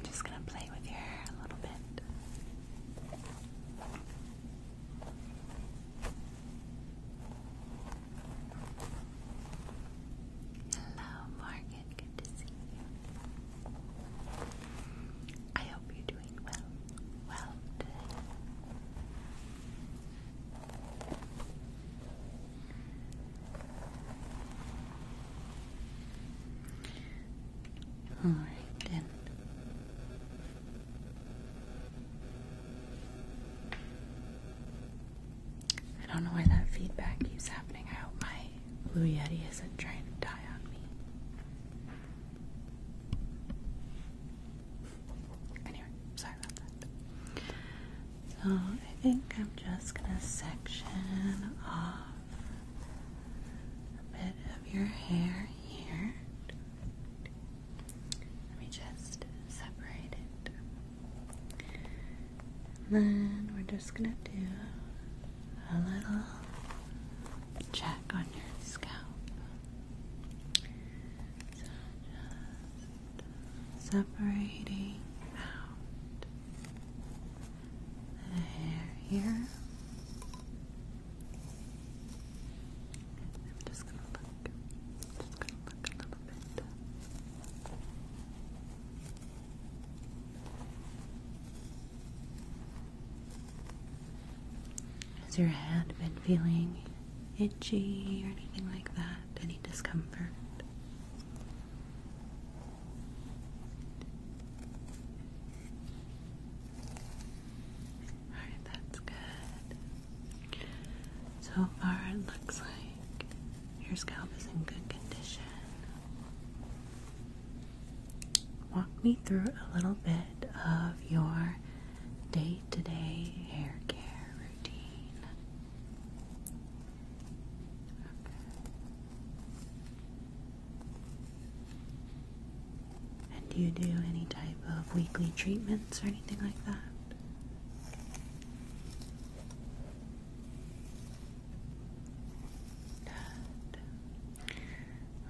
I'm just going to play with your hair a little bit. Hello, Morgan. Good to see you. I hope you're doing well. Well today. All right, then. I don't know why that feedback keeps happening. I hope my Blue Yeti isn't trying to die on me. Anyway, sorry about that. So I think I'm just gonna section off a bit of your hair here. Let me just separate it. then we're just gonna do a little check on your scalp. So just separating out the hair here just gonna look. just gonna look a little bit. Has your hand been feeling itchy or anything like that? Any discomfort? Alright, that's good. So far, it looks like your scalp is in good condition. Walk me through a little bit of your day to day hair care routine. And do you do any type of weekly treatments or anything like that?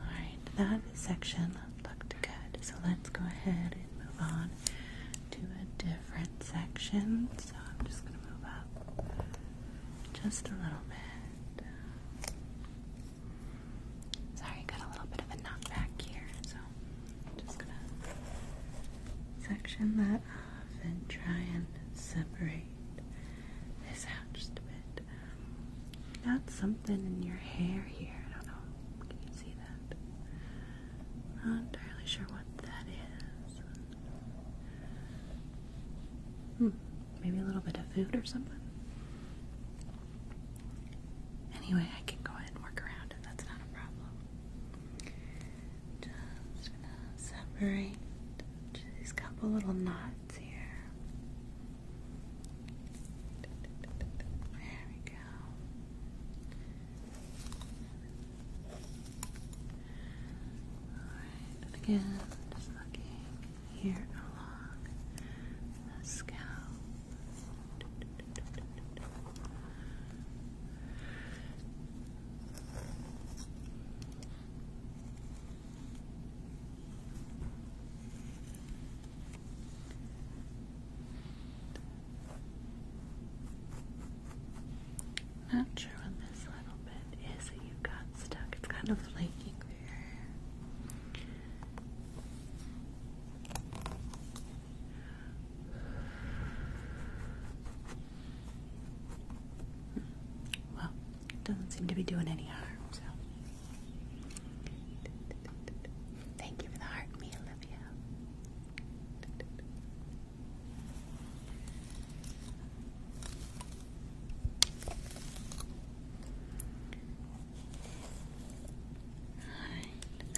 Alright, that section looked good. So let's go ahead and move on to a different section. So I'm just going to move up just a little bit. Sorry, got a little bit of a knockback here, so I'm just gonna section that off and try and separate this out just a bit. Got something in your hair here. I don't know. Can you see that? Not entirely sure what that is. Hmm, maybe a little bit of food or something. Anyway, I can go ahead and work around it. That's not a problem. Just gonna separate these couple little knots here. There we go. Alright, again, just looking here along the scalp. Not sure what this little bit is that you got stuck. It's kind of flaking there. Well, it doesn't seem to be doing any harm, so. Thank you for the heart, me, Olivia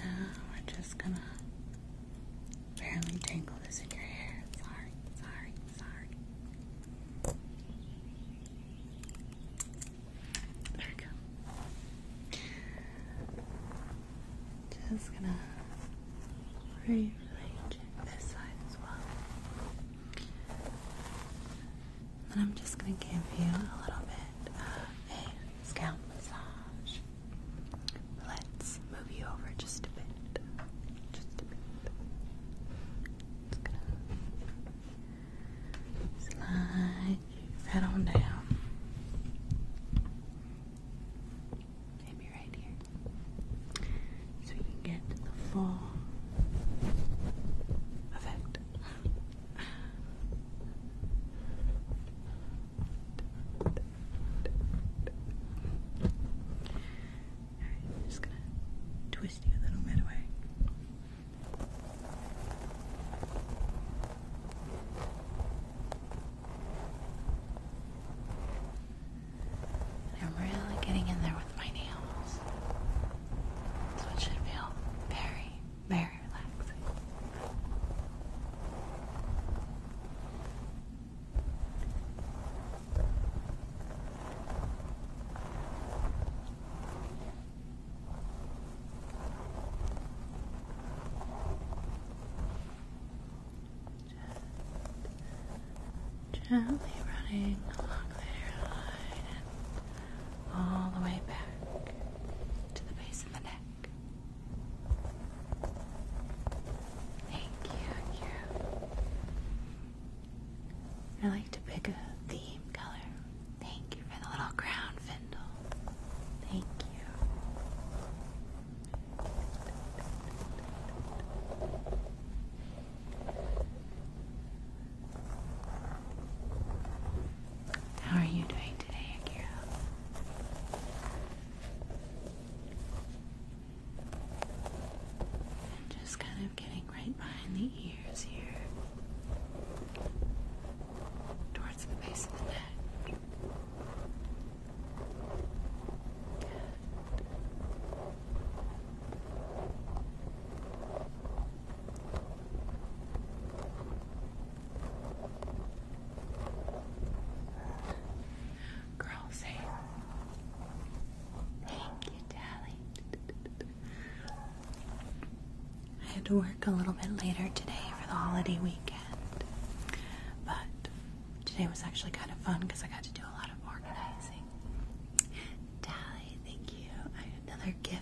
now we're just gonna barely tangle this in your hair. Sorry, sorry, sorry. There we go. Just gonna rearrange it this side as well. And I'm just going to give you a little bit of a scalp massage. Let's move you over just a bit. Just a bit. Just going to slide you right on down. Maybe right here. So we can get the full effect right, I'm just gonna twist you a little bit away. I'm really getting in there with my nails. So it should feel very, very relaxing. Just gently running along the hairline all the way back to the base Thank you, I like to pick a theme color. Thank you for the little crown findle. Thank you. How are you doing today, Akira? And just kind of getting right behind the ears here, towards the base of the neck. Girl, say thank you, Tally. I had to work a little bit later today for the holiday weekend, but today was actually kind of fun because I got to do a lot of organizing. Tally, thank you. another gift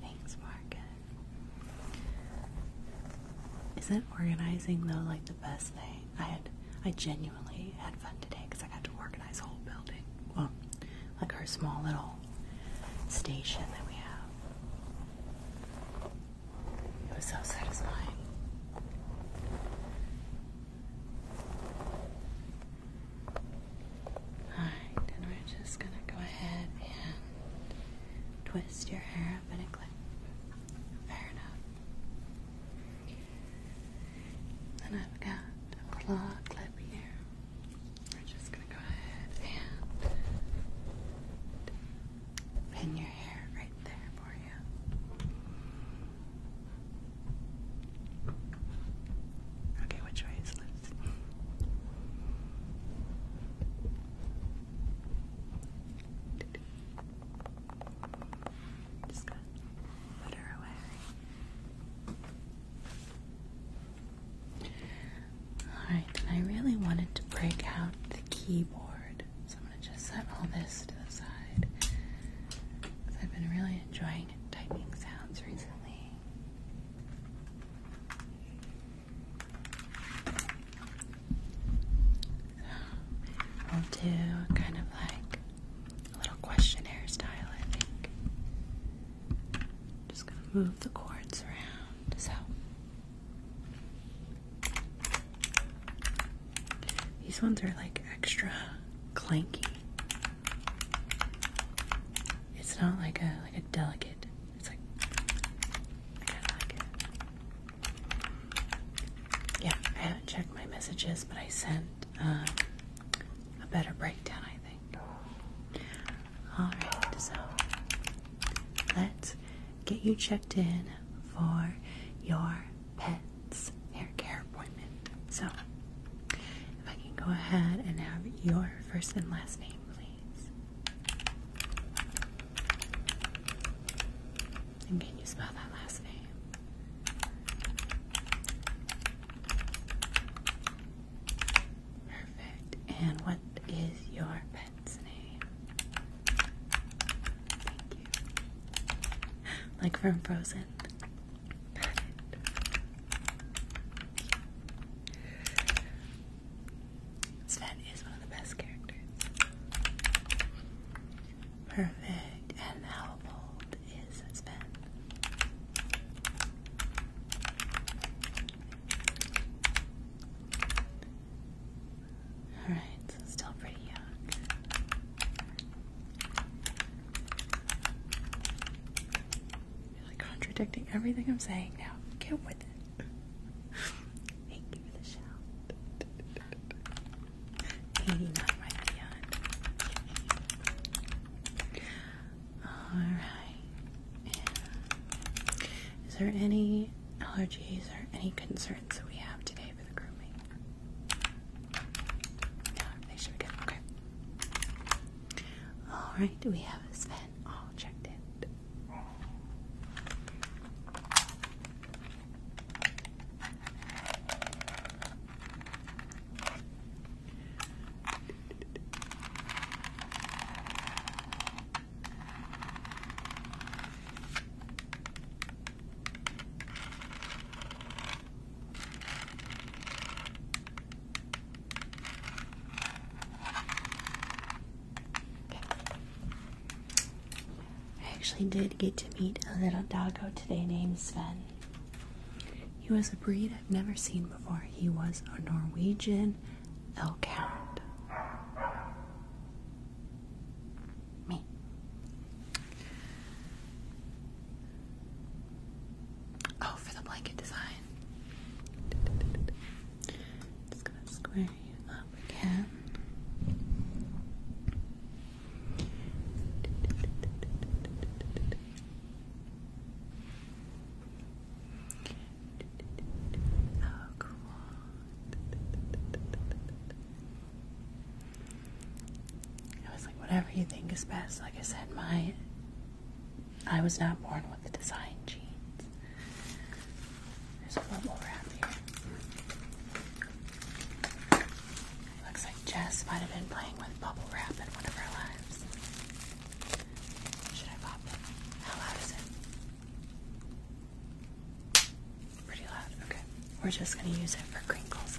Thanks, Morgan. Isn't organizing though like the best thing? I had, I genuinely had fun today because I got to organize a whole building. Well, like our small little station that we have. It was so satisfying. Alright, and we're just gonna go ahead and twist your hair up and a clip. Fair enough. And I've got a claw clip here. We're just gonna go ahead and pin your hair right there for you. Okay, which way is left? Alright, I really wanted to break out the keyboard. So I'm gonna just set all this to the side. Because I've been really enjoying typing sounds recently. I'll do kind of like a little questionnaire style, I think. Just gonna move the cords around. So these ones are like extra clanky. It's not like a like a delicate. It's like Yeah, I haven't checked my messages, but I sent um, a better breakdown. I think. All right, so let's get you checked in for your pet's hair care appointment. So, if I can go ahead and have your first and last name, please? And can you spell that last name? Perfect. And what is your pet's name? Like from Frozen. Sven is one of the best characters. Perfect. And how old is Sven? Alright, so still pretty young really contradicting everything I'm saying now. Get with it. Thank you for the shout. Alright. Is there any allergies or any concerns that we have today for the grooming? No, they should be Okay. Alright, Do we have Sven all checked in. I actually did get to meet a little doggo today named Sven. He was a breed I've never seen before. He was a Norwegian elk hound. Me. Oh, for the blanket design. Just gonna square you up again. Oh, cool. I was like, whatever you think is best. Like I said, my I was not born with the design genes. There's bubble wrap here. Looks like Jess might have been playing with bubble wrap in one of her lives. Should I pop it? How loud is it? Pretty loud. Okay. We're just going to use it for crinkles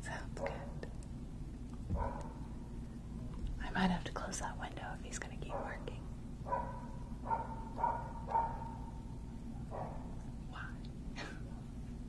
Sounds good. I might have to close that window if he's going to keep barking. Why?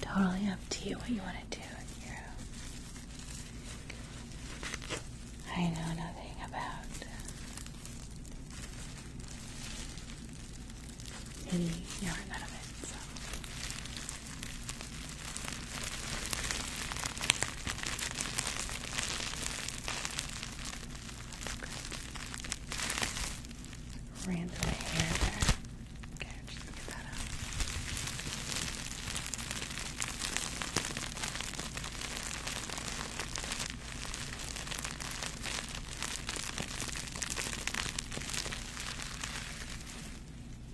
Totally up to you what you want to do with I know nothing about any yarn out of it, ran hair Okay, just get that out.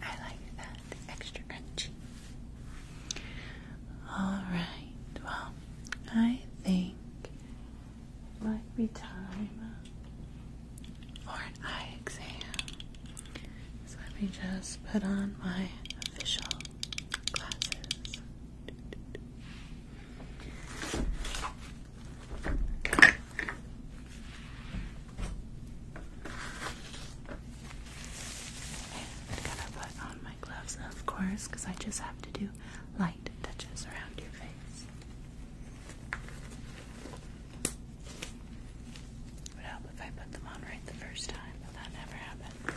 I like that. extra crunchy. Alright, well, I think might be time for an eye exam. So let me just put on my official glasses. gotta put on my gloves, of course, because I just have to do light touches around your face. It would help if I put them on right the first time, but that never happens.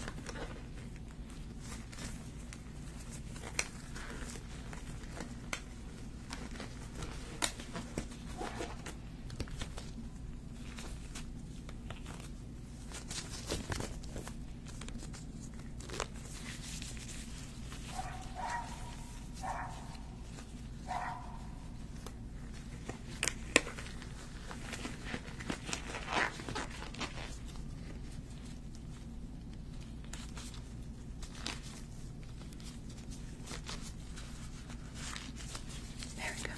There we go.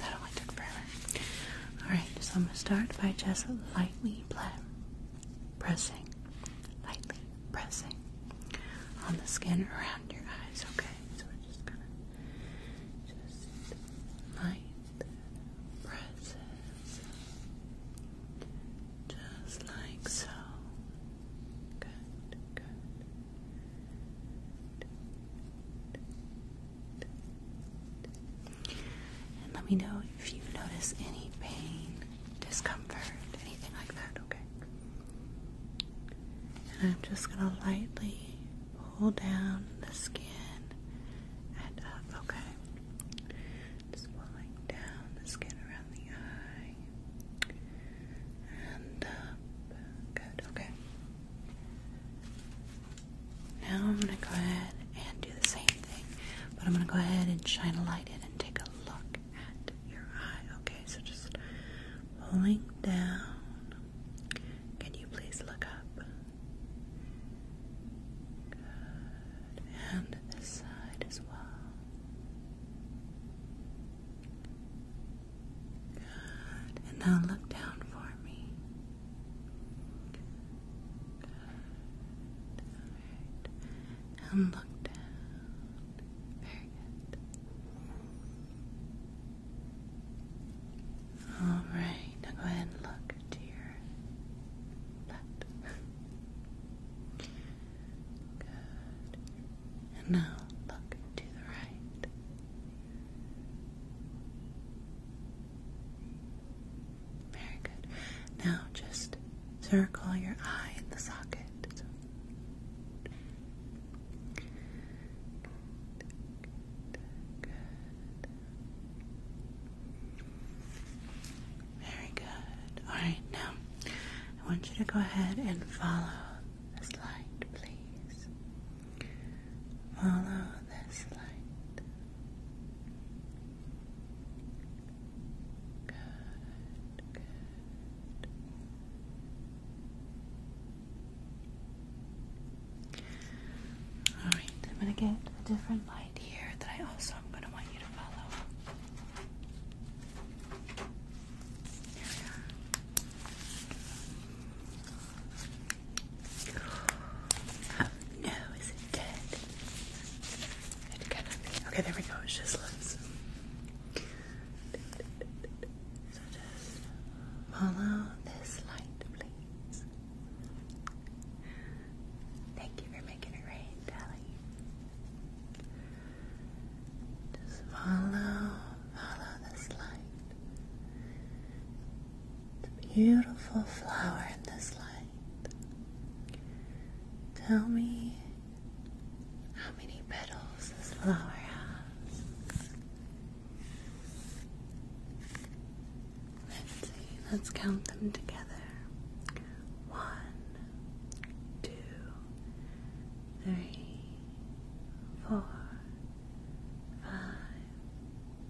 That only took forever. Alright, so I'm going to start by just lightly playing pressing, lightly pressing on the skin around your eyes, okay? So we're just gonna just light presses just like so. Good, good. And let me know if you notice any pain discomfort, anything like that, okay? And I'm just going to lightly pull down the skin and up, okay? Just pulling down the skin around the eye and up. Good, okay. Now I'm going to go ahead and do the same thing, but I'm going to go ahead and shine a light in and take a look at your eye. Okay, so just pulling down. Can you please look up? Good. And this side as well. Good. And now look down for me. Good. And look down. Very good. All right, now go ahead and look to your left. Good. And now look to the right. Very good. Now just Circle your eye in the socket. Very good. Alright, now I want you to go ahead and follow this light, please. Follow this light. All right, I'm going to get a different light here that I also am going to want you to follow. Here we are. no, oh, is it dead? It cannot be. Okay, there we go. It's just lips. So just follow this light, please. Thank you for making it rain, Tally. Just follow, follow this light. The beautiful flower in this light. Tell me how many petals this flower has? Let's count them together. One, two, three, four, five,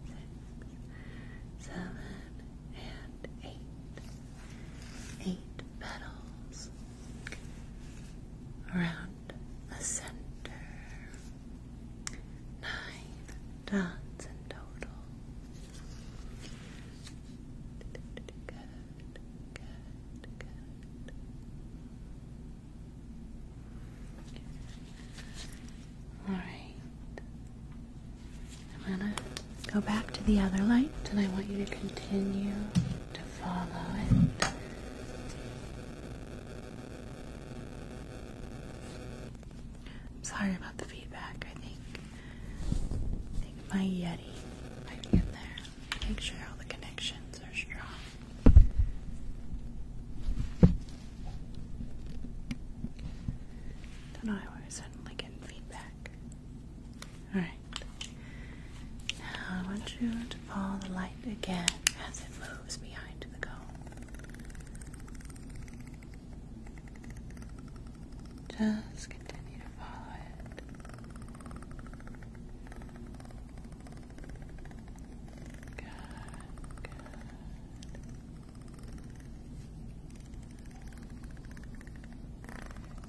six, seven, and eight eight petals around the center. Nine dots in total. Good, good, good. alright Go back to the other light, and I want you to continue to follow it. I'm sorry about the feedback. I think, think my Yeti might be in there. Make sure all the connections are strong. Don't know how I suddenly get feedback. All right. Now I want you to follow the light again as it moves behind the cone. Just continue to follow it. Good,